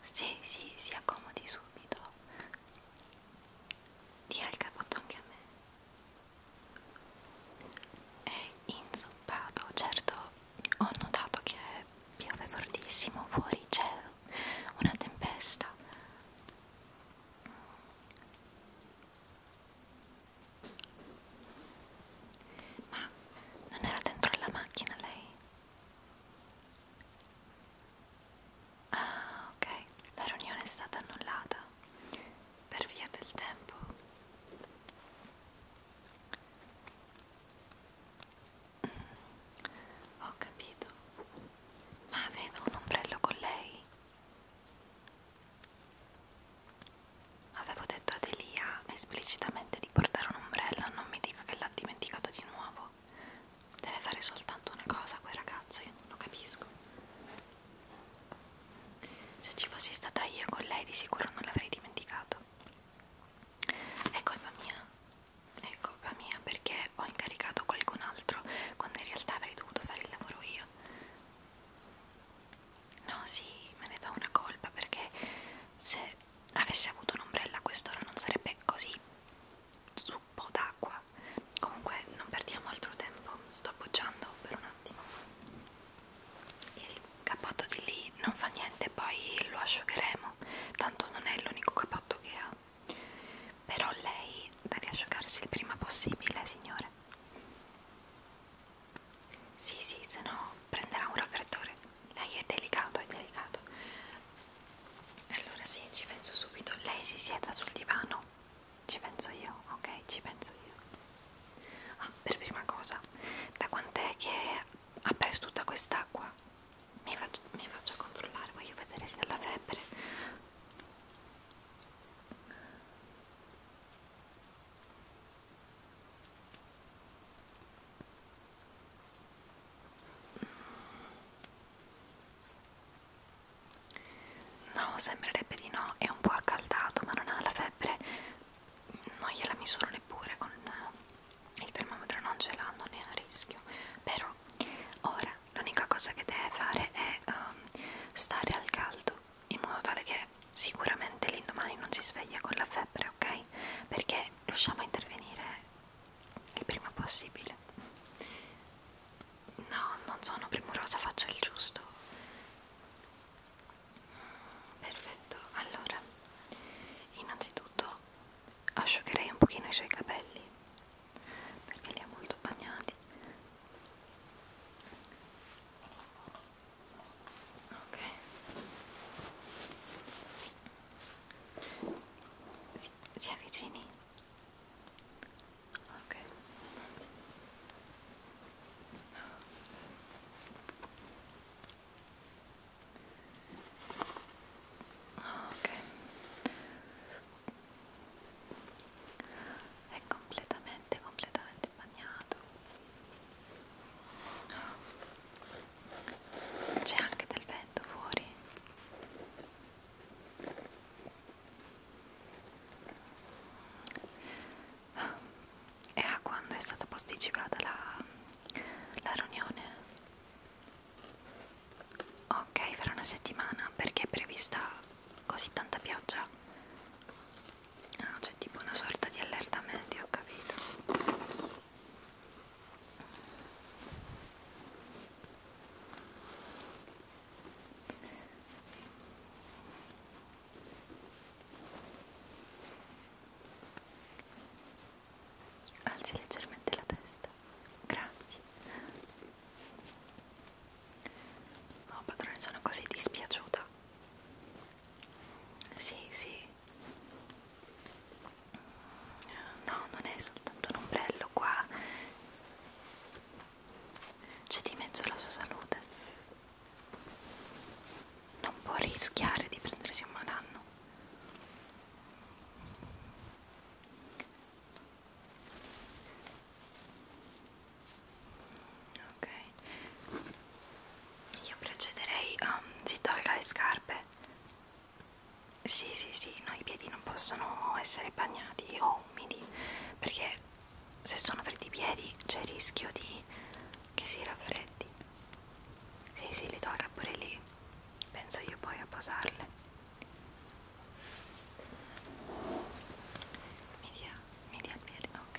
Sì, sì, si accomodi subito. Dia il capotto anche a me. È inzuppato, certo, ho notato che piove fortissimo, fuori c'è una tempesta. Ma non era dentro la macchina lei? Ah, ok, la riunione è stata annullata per via del tempo. Mm, ho capito. Ma aveva un ombrello con lei? Avevo detto ad Elia esplicitamente di portare un ombrello, non mi dica che l'ha dimenticato di nuovo no? Deve fare soltanto una cosa quel ragazzo, io non lo capisco. Se ci fossi stata io con lei di sicuro non l'avrei dimenticato. È colpa ecco, mia, è colpa ecco, mia perché ho incaricato qualcun altro quando in realtà avrei dovuto fare il lavoro io. No, sì, me ne do una colpa perché se avessi avuto un'ombrella a quest'ora non sarebbe così zuppo d'acqua comunque non perdiamo altro tempo sto appoggiando per un attimo il cappotto di lì non fa niente poi lo asciugheremo tanto non è l'unico cappotto che ha però lei da riasciugarsi il prima possibile signore sì sì se no prenderà un raffreddore lei è delicato, è delicato. Allora sì, ci penso subito. Lei si sieda sul divano. Ci penso io, ok? Ci penso io. Ah, per prima cosa, da quant'è che ha preso tutta quest'acqua? Mi, mi faccio controllare, voglio vedere se ha la febbre. No, sembrerebbe di no, è un po' accaldato ma non ha la febbre, non gliela misuro neppure con eh, il termometro, non ce l'ha, non è a rischio, però ora l'unica cosa che deve fare è um, stare al caldo in modo tale che sicuramente l'indomani non si sveglia con la febbre, ok? Perché riusciamo a intervenire il prima possibile no non sono premurosa faccio il giusto perfetto allora innanzitutto asciugherei un pochino i suoi capelli perché li ha molto bagnati ok si, si avvicini ok ok è completamente completamente bagnato c'è anche del vento fuori e a quando è stata posticipata la, la riunione ok fra una settimana perché è prevista così tanta pioggia no, ah, c'è tipo una sorta di allerta media ho capito Alzi leggermente la testa. Grazie. No, oh, padrone, sono così dispiaciuta. Sì, sì, no non è soltanto un ombrello qua c'è di mezzo la sua salute non può rischiare di prendersi un malanno ok io procederei a um, si tolga le scarpe sì sì sì no i piedi non possono essere bagnati o umidi perché se sono freddi i piedi c'è il rischio di che si raffreddi sì sì li tolga pure lì penso io poi a posarle mi dia, mi dia il piede ok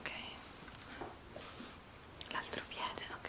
Ok, l'altro piede, ok.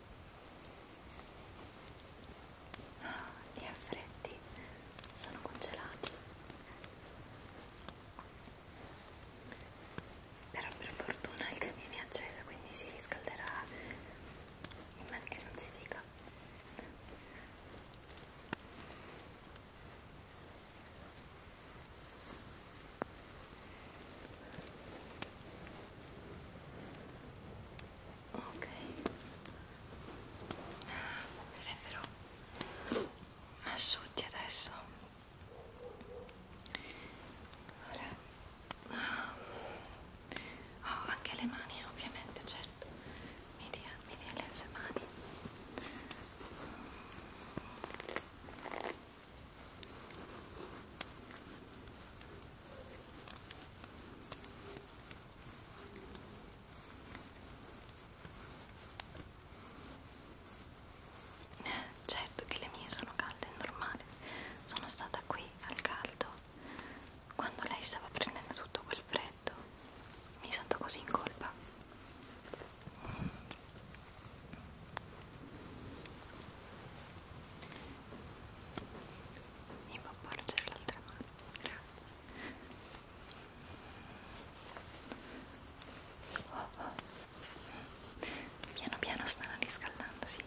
Ah, gli affretti sono congelati. Però per fortuna il camino è acceso, quindi si riscalderà in modo che non si dica ok ah, sembrerebbero asciutti adesso allora oh, ah, anche le mani ovviamente certo mi dia, mi dia le sue mani Certo che le mie sono calde, è normale. Sono stata qui al caldo quando lei stava prendendo tutto quel freddo. Mi sento così in colpa. Mi può porgere l'altra mano? Oh, oh. Piano piano stanno riscaldandosi.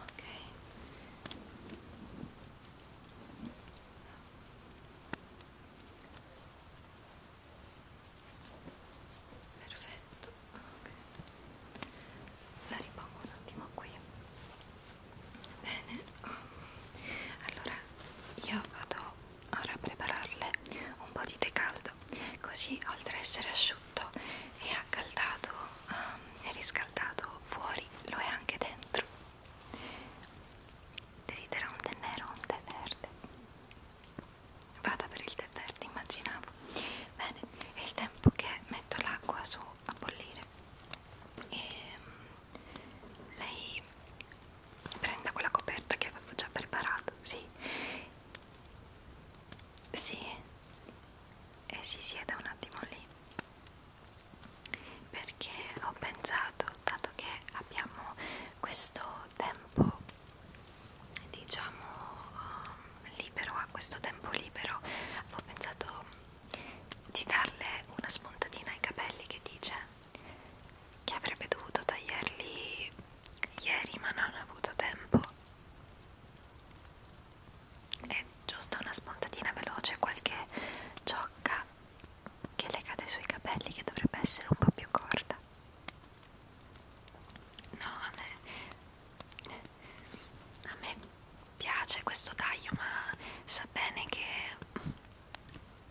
Ok. Perfetto. Okay. La ripongo un attimo qui. Bene. Allora io vado ora prepararle un po' di tè caldo così oltre ad essere asciutto e accaldato um, e riscaldato fuori lo è anche dentro desidera un tè nero o un tè verde vada per il tè verde immaginavo bene è il tempo che metto l'acqua su a bollire e ehm, lei prenda quella coperta che avevo già preparato, sì, sì, e eh, si sieda un attimo lì, perché ho pensato, dato che abbiamo questo tempo, diciamo, um, libero, a questo tempo libero, avevo pensato di darle una spuntatina ai capelli che dice che avrebbe dovuto tagliarli ieri ma non ha avuto tempo è giusto una spuntatina veloce qualche ciocca che le cade sui capelli che dovrebbe essere un po' più corta no a me a me piace questo taglio ma sa bene che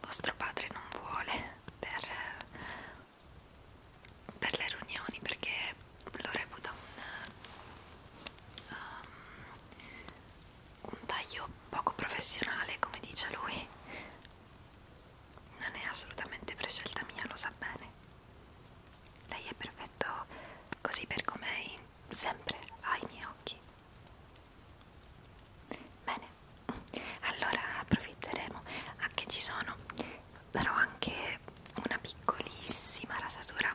vostro padre non vuole per, per le riunioni perché lo reputa un, um, un taglio poco professionale come dice lui non è assolutamente prescelta mia lo sa bene lei è perfetto così per com'è sempre ai miei occhi Bene, allora approfitteremo anche ci sono, darò anche una piccolissima rasatura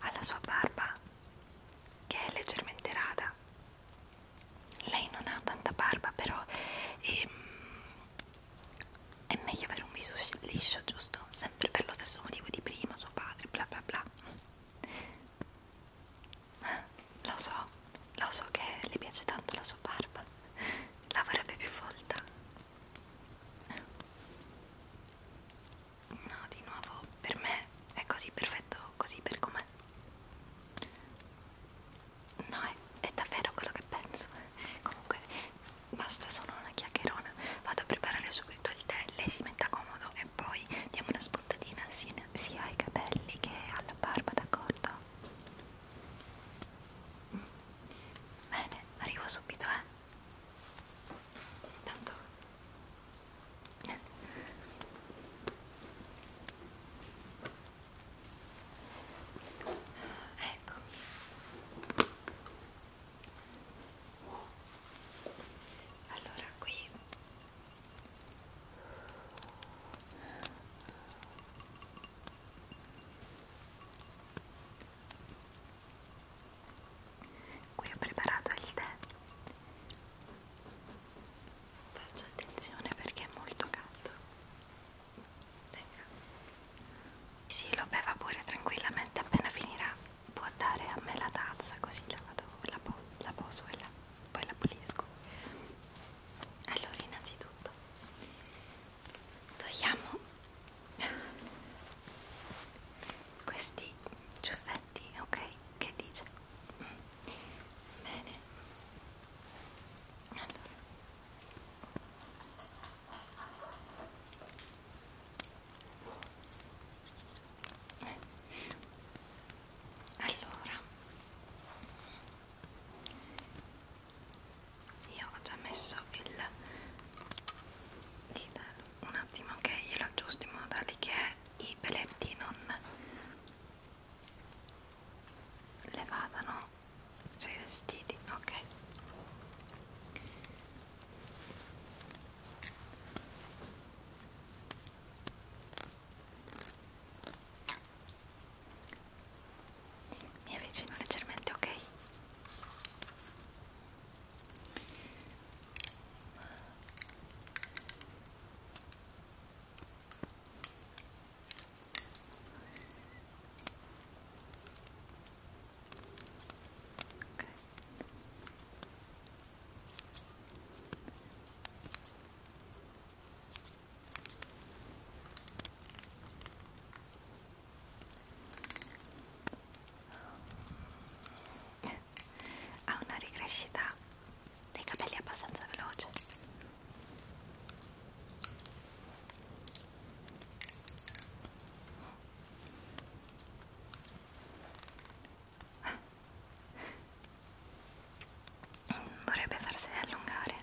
alla sua barba che è leggermente rada. Lei non ha tanta barba però è, ehm, è meglio avere un viso liscio, giusto? Sempre per lo stesso motivo di prima, suo padre, bla bla bla. Lo so, lo so che le piace tanto la sua barba, la vorrebbe più folta. No, di nuovo, per me è così perfetto, così per com'è. No, è, è davvero quello che penso. Comunque, basta, sono una chiacchierona. Vado a preparare subito il tè, lei si metta comodo e poi diamo una spuntatina insieme sia ai capelli che alla barba, d'accordo? Bene, arrivo subito, eh? Tanto... Eh. Eccomi. Allora, qui Qui ho preparato il tè. Faccio attenzione perché è molto caldo. Venga. Sì, lo beva pure tranquillamente appena finirà. Può dare a me la tazza così la vado, la, po la poso e la poi la pulisco allora innanzitutto togliamo questi ciuffetti ok che dice bene allora allora io ho già messo il dito un attimo che glielo aggiusto in modo tale che i peletti non le vadano sui vestiti ok mi avvicino leggermente ok Okay. ha una ricrescita da. dei capelli abbastanza veloce vorrebbe farsi allungare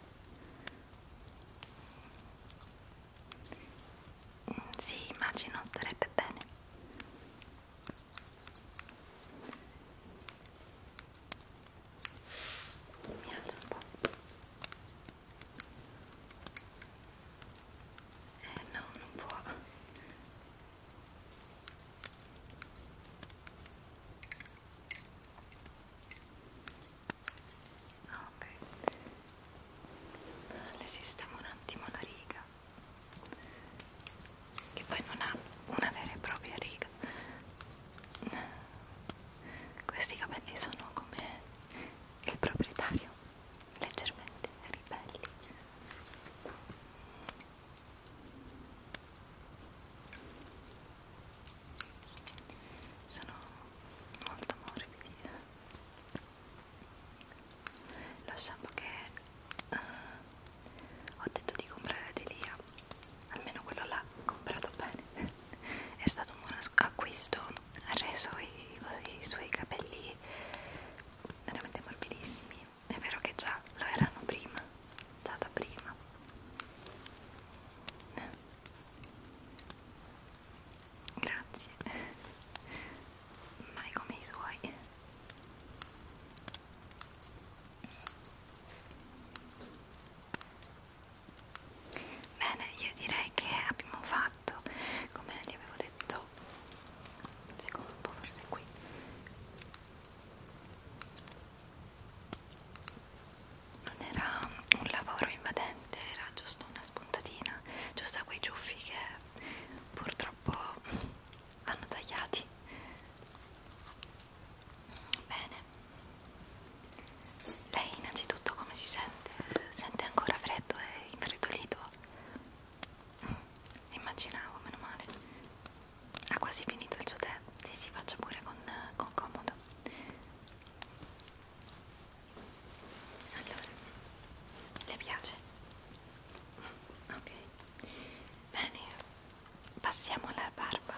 sì immagino starebbe bene mi alzo un po' eh no non può Ah, ok. Le sistemo un attimo la riga, che poi non ha una vera e propria riga. Questi capelli sono come il proprietario, leggermente ribelli sono molto morbidi lo shampoo che uh, ho detto di comprare di Lia almeno quello l'ha comprato bene è stato un buon acquisto ha reso i, i, i suoi capelli veramente morbidissimi è vero che già lo erano prima, già da prima. Eh. Grazie, mai come i suoi. Bene, io direi che abbiamo fatto, come vi avevo detto pezzo secondo un po' forse qui non era un lavoro invadente era giusto una spuntatina giusto a quei ciuffi che purtroppo vanno tagliati bene lei innanzitutto come si sente? sente ancora freddo e infreddolito? Immaginavo, meno male. Ha quasi finito il suo tè. Sì, si sì, faccia pure con, con comodo. Allora, le piace? Ok. Bene, passiamo alla barba.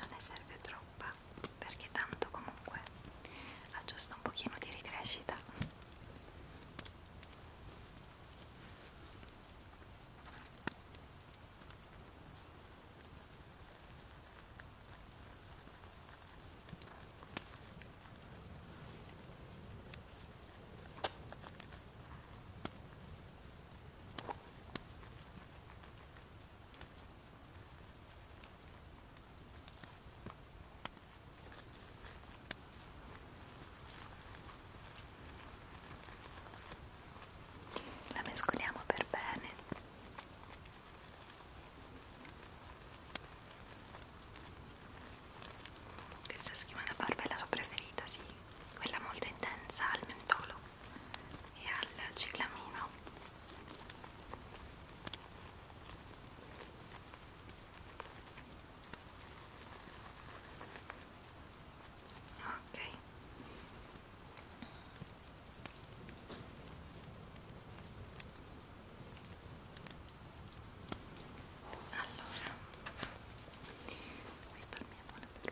non ne serve troppa perché tanto comunque ha giusto un pochino di ricrescita la mescoliamo per bene. Questa schiuma da barba è la sua preferita, sì, quella molto intensa al mentolo e al ciclamino ok allora risparmiamo la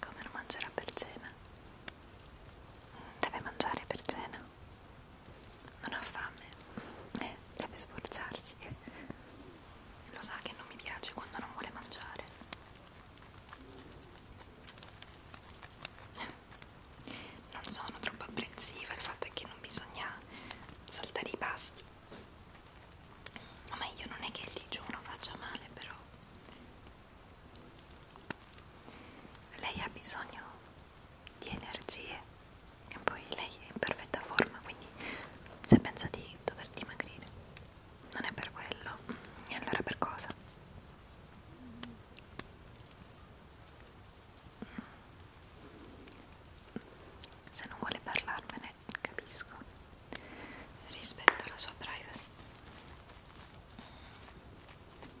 Come lo mangerà per cena? Deve mangiare per cena? Non ha fame? Eh, deve sforzarsi. Lo sa che non mi piace quando non vuole mangiare. Non sono troppo apprensiva, il fatto è che non bisogna saltare i pasti. Ma meglio non è che il digiuno faccia male, però lei ha bisogno di energie e poi lei è in perfetta forma quindi se pensa di dover dimagrire non è per quello e allora per cosa? Se non vuole parlarmene, capisco rispetto alla sua privacy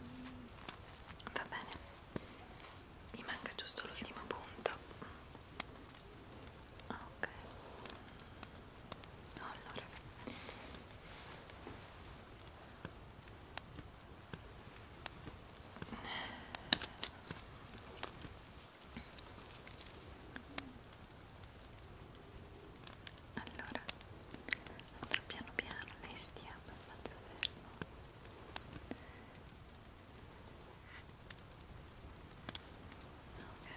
mm. va bene mi manca giusto l'ultimo punto ok allora allora andrò piano piano lei stia abbastanza fermo ok ok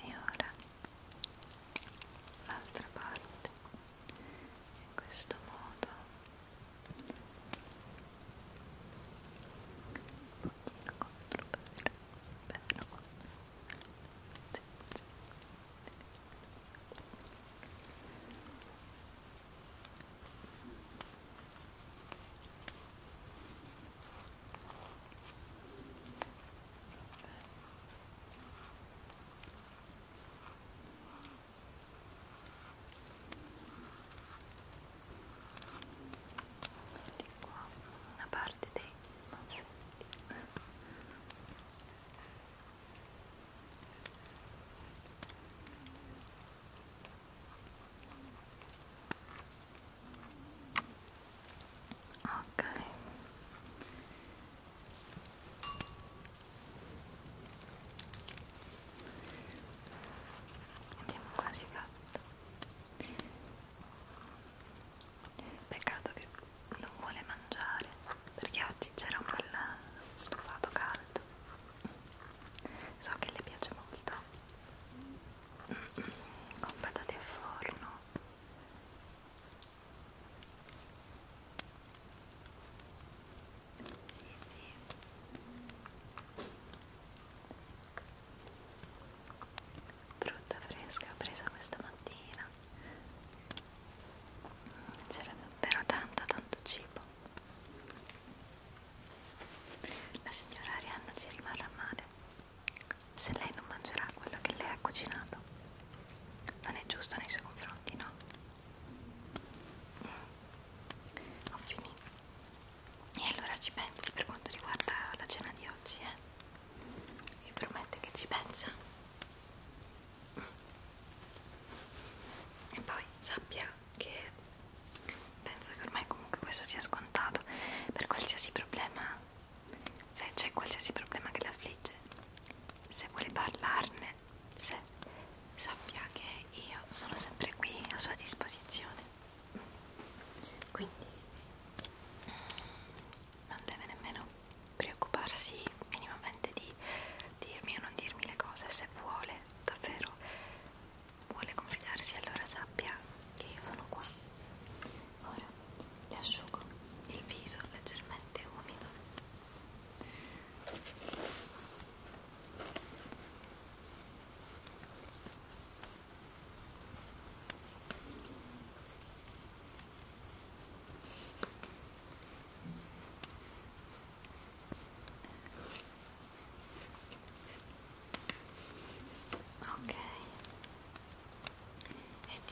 e ora l'altra parte in questo modo un pochino contro per bene Vedi qua una parte dei nostri ok abbiamo quasi fatto peccato che non vuole mangiare perché oggi c'era un bel stufato caldo so che le piace molto con patate al forno sì sì frutta fresca presa questa mattina mm, c'era davvero tanto tanto cibo la signora Arianna ci rimarrà male se lei non mangerà quello che lei ha cucinato non è giusto nei suoi confronti no? Mm. ho finito e allora ci pensi per quanto riguarda la cena di oggi eh? mi promette che ci pensa e poi sappia che penso che ormai comunque questo sia scontato per qualsiasi problema se c'è qualsiasi problema che l'affligge se vuole parlarne se sappia che io sono sempre qui a sua disposizione quindi non deve nemmeno preoccuparsi minimamente di dirmi o non dirmi le cose se vuole davvero vuole confidarsi allora sappia che io sono qua ora le asciugo il viso leggermente umido Ok, e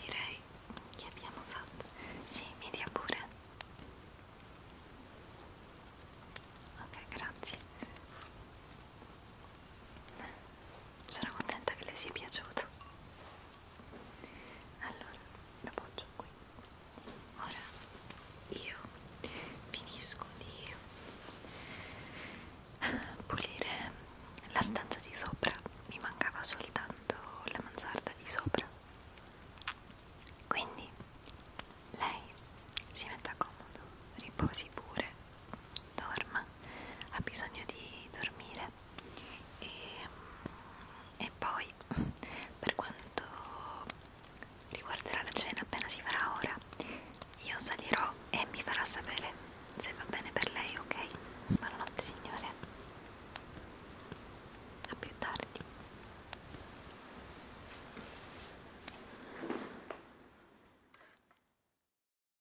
direi che abbiamo fatto. Sì, mi dia pure. Ok, grazie. Sono contenta che le sia piaciuto. Allora, lo appoggio qui. Ora io finisco di pulire la stanza di sopra. Mi mancava soltanto la mansarda di sopra. Quindi lei si metta comodo, riposi pure dorma, ha bisogno di dormire e, e poi per quanto riguarderà la cena appena si farà ora io salirò e mi farà sapere se va bene per lei ok? Buonanotte signore a più tardi